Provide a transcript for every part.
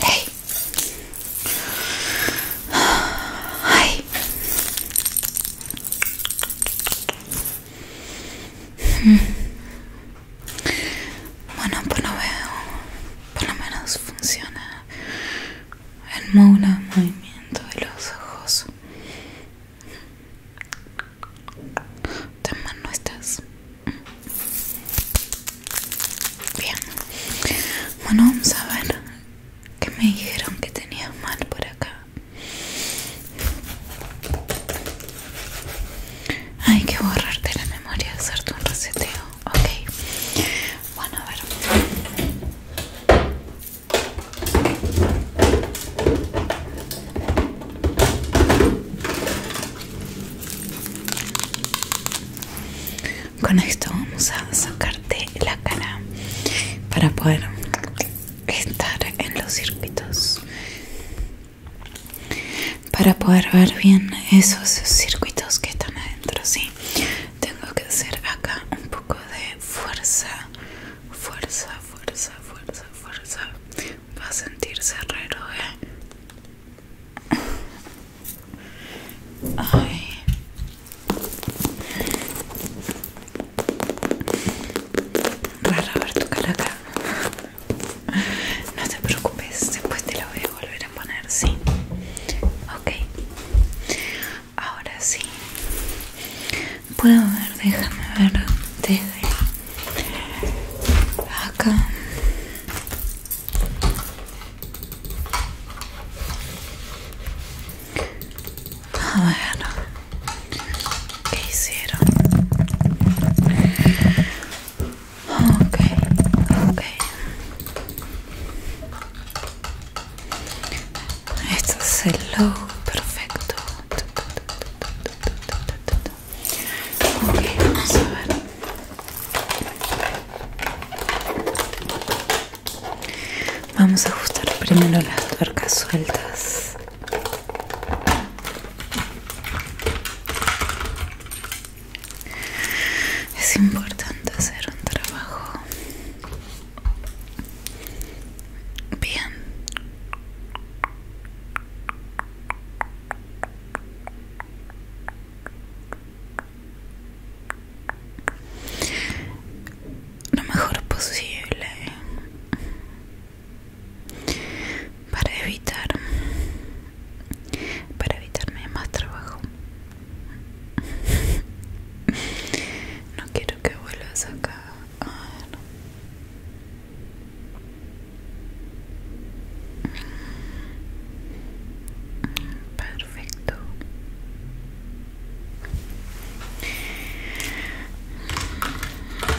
Hey. Ay. Mm. Bueno, pues lo veo. Por lo menos funciona el movimiento de los ojos. Tan mal no estás. Bien. Bueno, vamos a ver que me dijeron que tenías mal por acá. Hay que borrarte la memoria, hacerte un reseteo. Ok. Bueno, a ver. Con esto vamos a sacarte la cara para poder estar en los circuitos, para poder ver bien esos circuitos que están adentro, sí tengo que hacer acá un poco de fuerza fuerza fuerza fuerza fuerza va a sentirse raro eh Ay. Raro ver tu cara acá No te preocupes, después te lo voy a volver a poner, ¿sí? Ok ahora sí puedo ver déjame ver desde acá a ver qué hicieron ok ok esto es el logo, perfecto. Ok, vamos a ver. Vamos a ajustar primero las tuercas sueltas. Es importante hacer un trabajo Bien. Lo mejor posible para evitar para evitarme más trabajo no quiero que vuelvas acá. Perfecto.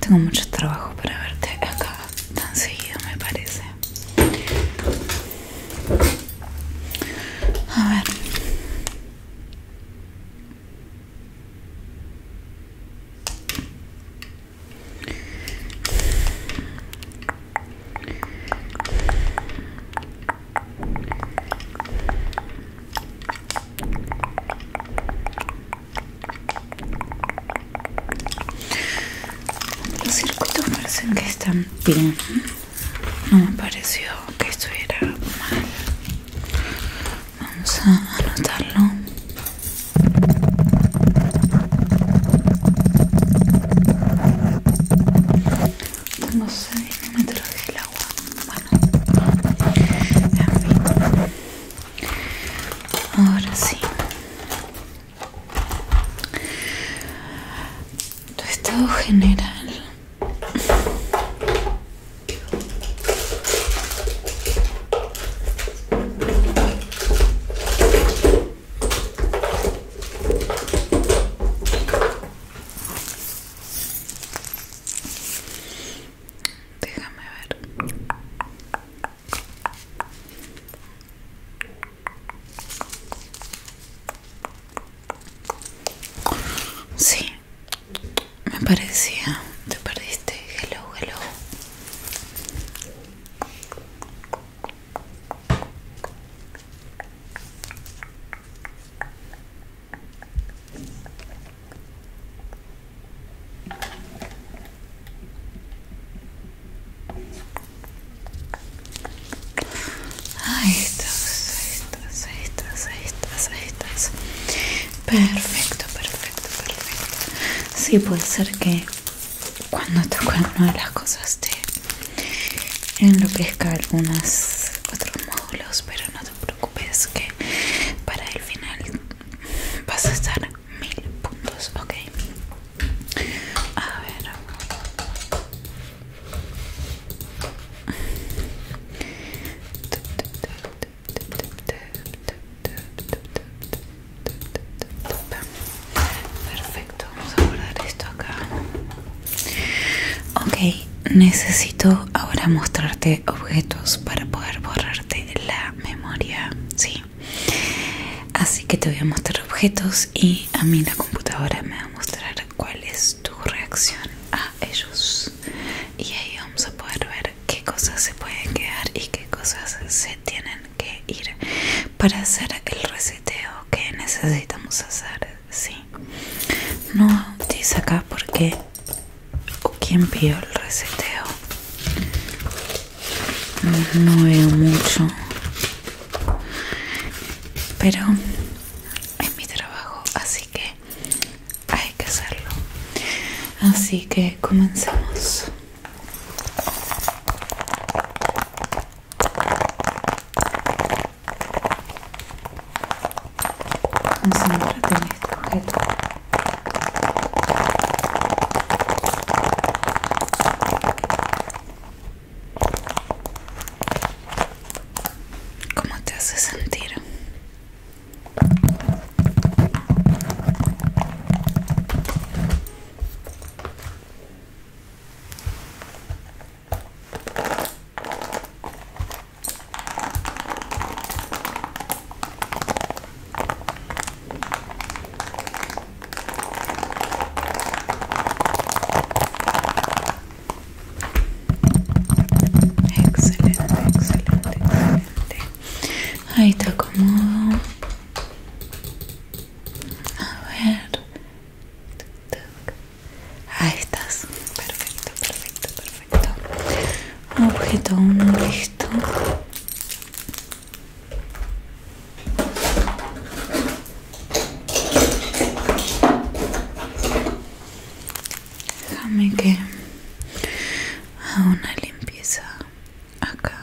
Tengo mucho trabajo para verte acá tan seguido, me parece. A ver. Los circuitos parecen que están bien no me pareció que estuviera mal vamos a anotarlo no me traje el agua bueno ahora sí tu estado general Déjame ver. Sí, me parecía. Te perdiste. Hello, hello. Ahí estás, ahí estás, ahí estás, ahí estás, ahí Perfecto, perfecto, perfecto. Sí, puede ser que cuando toque alguna de las cosas te enloquezca algunos otros módulos, pero no te preocupes que para el final vas a estar mil puntos, ok. A ver. Perfecto, vamos a guardar esto acá. Ok, necesito ahora mostrarte objetos para poder borrarte la memoria, sí. Así que te voy a mostrar objetos y a mí la computadora me va a mostrar cuáles tu reacción a ellos y ahí vamos a poder ver qué cosas se pueden quedar y qué cosas se tienen que ir para hacer el reseteo que necesitamos hacer sí no dice acá qué o quién pidió el reseteo no veo mucho pero en mi trabajo así que hay que hacerlo así que comencemos este objeto. ¿Cómo te hace sentir? Excelente, excelente, excelente. Ahí está cómodo. A ver. Ahí estás. Perfecto, perfecto, perfecto. Objeto uno listo. Déjame que a una limpieza acá.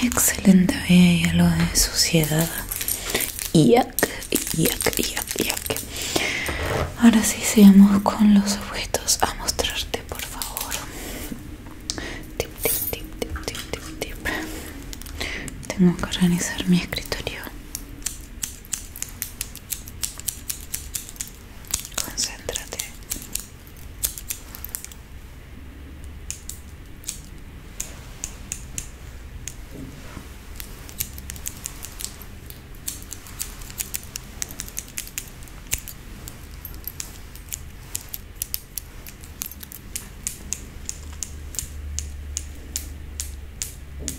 Excelente, vea lo algo de suciedad. yac, yac, Ahora sí, seguimos con los objetos a mostrarte, por favor. Tip, tip, tip, tip, tip, tip, tip. Tengo que organizar mi escritorio. Concéntrate.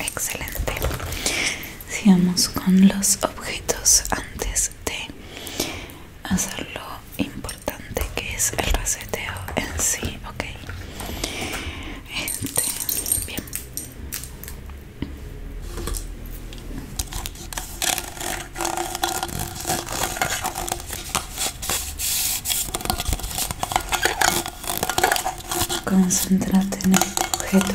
Excelente. Sigamos con los objetos antes de hacer lo importante que es el reseteo en sí, ok. Este, bien. Concentrate en este objeto.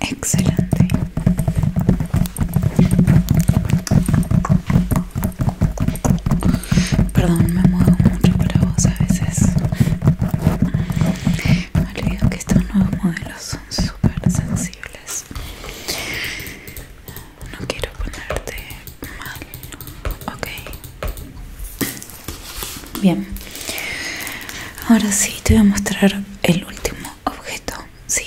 Excelente. Perdón, me muevo mucho para vos a veces. Me olvido que estos nuevos modelos son súper sensibles. No quiero ponerte mal Ok. Bien. Ahora sí te voy a mostrar el último objeto, sí.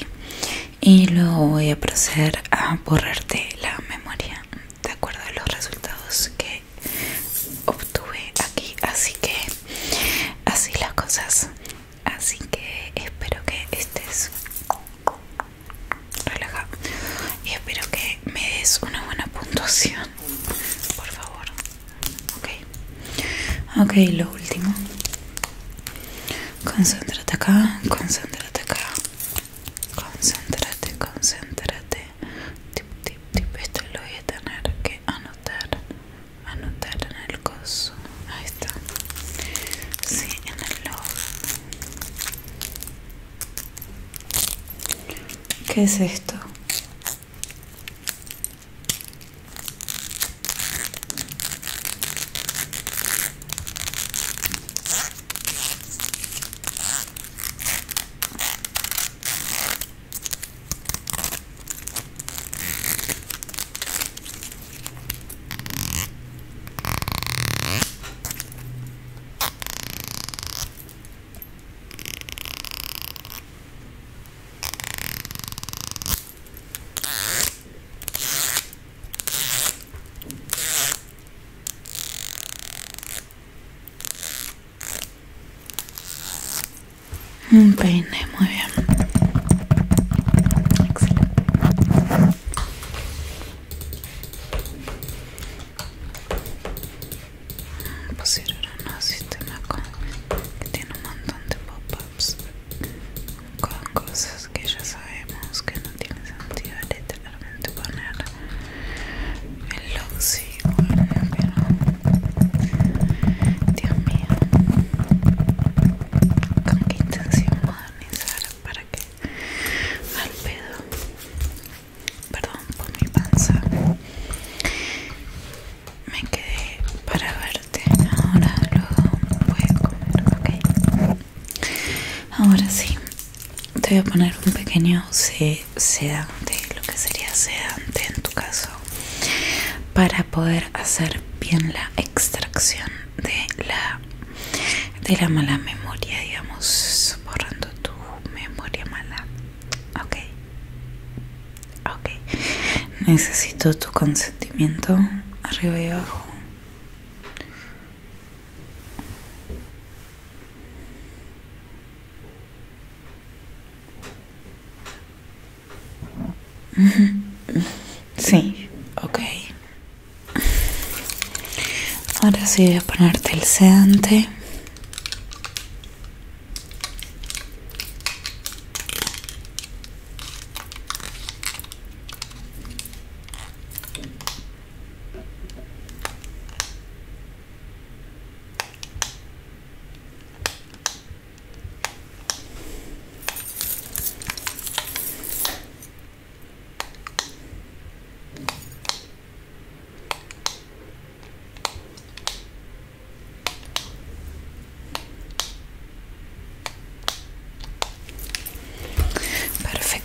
Y luego voy a proceder a borrarte la memoria de acuerdo a los resultados que obtuve aquí. Así que así las cosas. Así que espero que estés relaja y espero que me des una buena puntuación por favor ok ok lo último concéntrate acá concéntrate acá concéntrate concéntrate tip tip tip esto lo voy a tener que anotar anotar en el coso ahí está sí en el log ¿Qué es esto? Un peine, muy bien. Pusieron un sistema con, que tiene un montón de pop-ups con cosas que ya sabemos que no tiene sentido literalmente poner el si bueno, pero Dios mío con qué intención modernizar para que al pedo perdón por mi panza me quedé para verte ahora luego voy a comer ok ahora sí te voy a poner un pequeño sedante lo que sería sedante en tu caso para poder hacer bien la extracción de la de la mala memoria, digamos, borrando tu memoria mala. Ok, ok. Necesito tu consentimiento arriba y abajo. Sí, ok. Ahora sí voy a ponerte el sedante.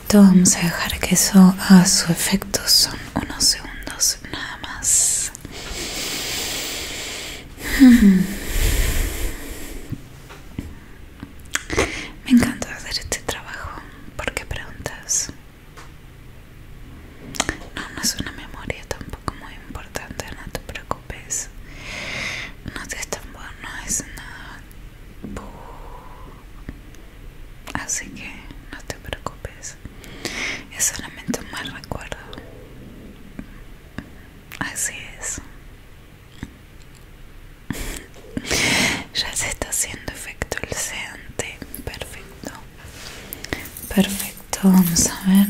Perfecto, vamos a dejar que eso a su efecto, son unos segundos nada más. Me encanta hacer este trabajo. ¿Por qué preguntas? No, no es una memoria tampoco muy importante, no te preocupes. No te es tan bueno, es nada. Así que no te preocupes. Es solamente un mal recuerdo. Así es. ya se está haciendo efecto el sedante perfecto perfecto vamos a ver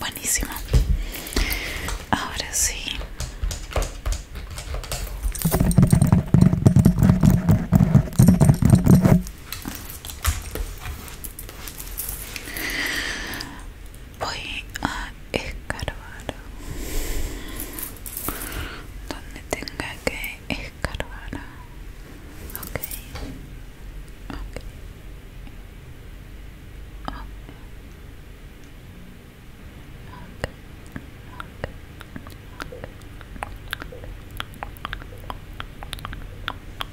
buenísimo ahora sí voy a escarbar donde tenga que escarbar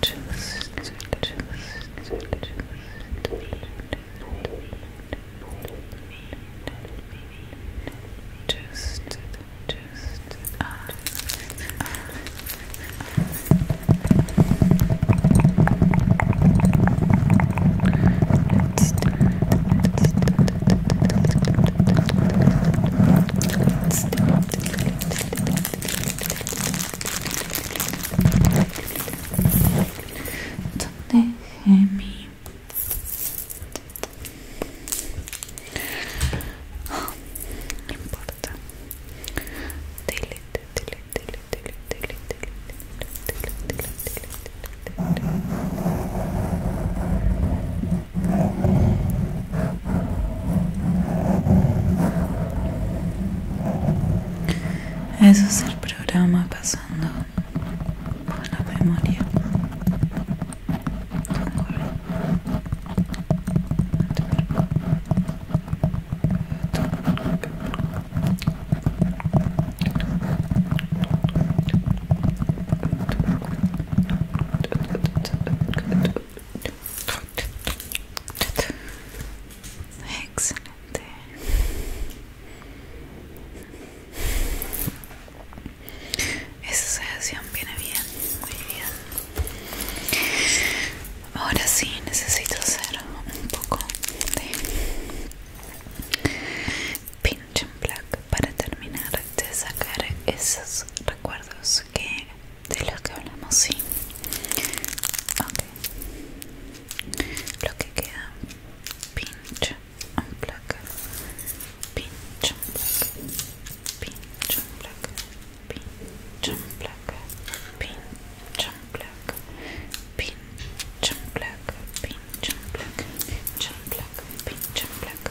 Just, just, just, just. Just, just, uh, uh. Let's do, let's do, let's do, let's do, let's do, let's do. ¿Dónde Gemi? no importa. delete, delete, delete, delete, delete, delete, delete, delete, delete. Eso es el programa pasando por la memoria. Excelente. Esa sesión viene bien, muy bien. Ahora sí, necesito hacer un poco de pinch and black para terminar de sacar esos recuerdos que de los que hablamos, sí. Ok. Lo que queda. Pinch, un placa. Pinch, placa. Pinch, placa. Pinch, un placa. Pinch, un placa. Pinch, un placa. Pinch, un placa. Pinch, un placa. placa.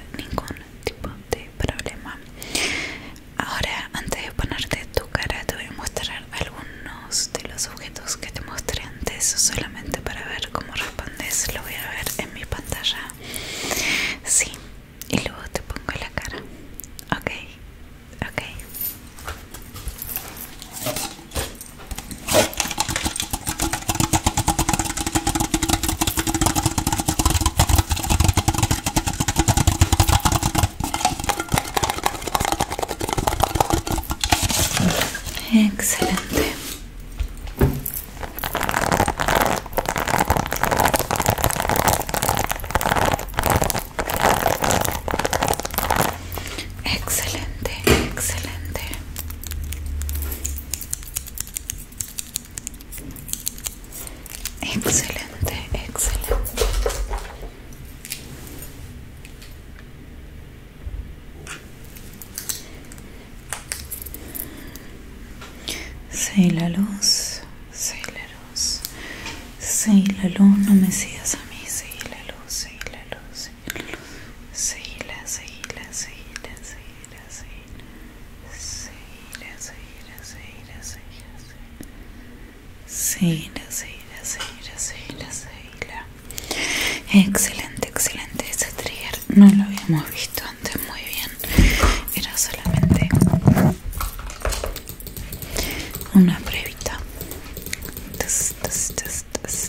ningún tipo de problema ahora antes de ponerte tu cara te voy a mostrar algunos de los objetos que te mostré antes solamente para ver cómo respondes lo voy a ver en mi pantalla sí y luego te pongo la cara ok ok ah. Excelente. Excelente, excelente. Excelente, excelente. Sé la luz, sé la luz, sé la luz, no me sigas a mí, sé la luz, sé la luz, sé la luz, la, sé la, la seguirá, seguirá, seguirá, seguirá, seguirá, seguirá, seguirá, seguirá, seguirá. Excelente, excelente ese trigger. No lo habíamos visto antes muy bien. Era solamente una pruebita. Test, test, test, test.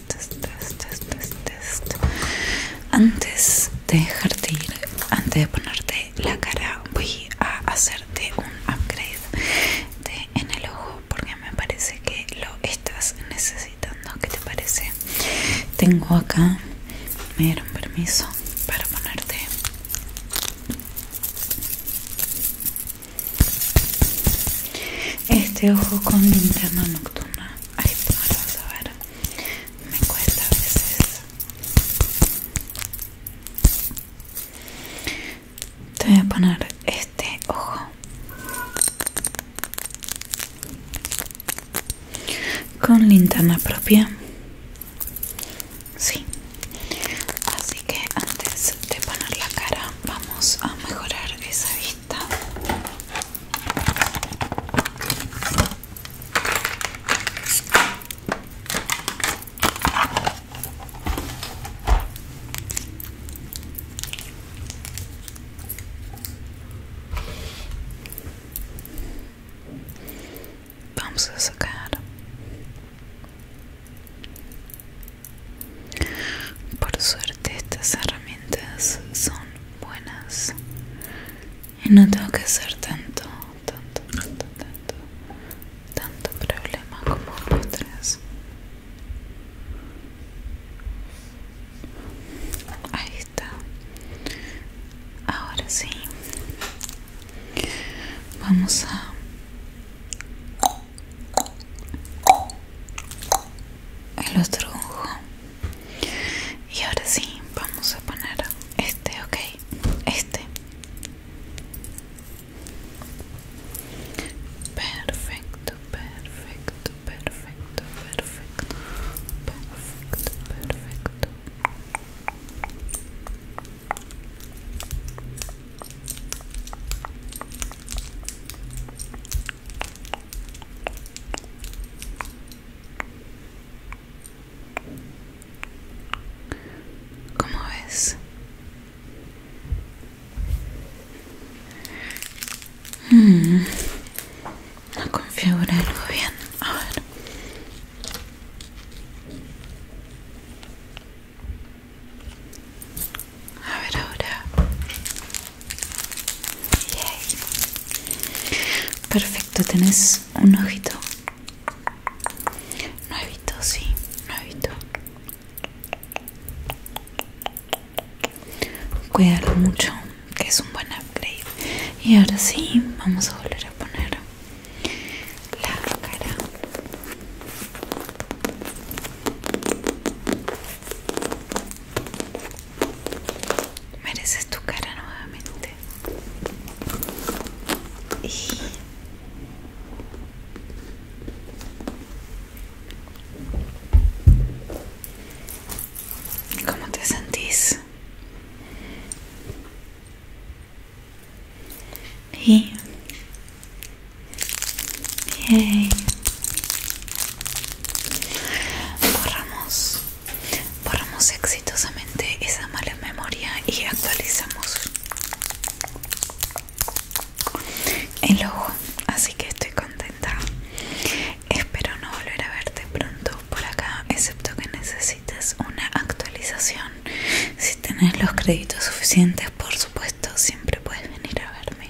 Antes de dejarte ir, antes de ponerte la cara, voy a hacerte un upgrade en el ojo porque me parece que lo estás necesitando. ¿Qué te parece? Tengo acá, me dieron permiso para ponerte. Este ojo con linterna nocturna, ahí te lo vas a ver me cuesta a veces te voy a poner este ojo con linterna propia sí así que antes de poner la cara vamos a mejorar esa vista Vamos a sacar Por suerte estas herramientas son buenas y no tengo que hacer tanto, tanto, tanto, tanto, tanto problema como tres Ahí está. Ahora sí. Vamos a el otro ojo y ahora sí vamos a poner este ok este perfecto perfecto perfecto perfecto perfecto perfecto ¿Cómo ves? Hmm. No configura algo bien. A ver. A ver ahora. Perfecto, tenés un ojito nuevito, sí, nuevito. Cuidado mucho, que es un buen upgrade. Y ahora sí, vamos a volver a poner la cara mereces tu cara nuevamente y ¿Cómo te sentís? Y... Borramos, exitosamente esa mala memoria y actualizamos el ojo, así que estoy contenta. Espero no volver a verte pronto por acá, excepto que necesites una actualización. Si tenés los créditos suficientes, por supuesto, siempre puedes venir a verme.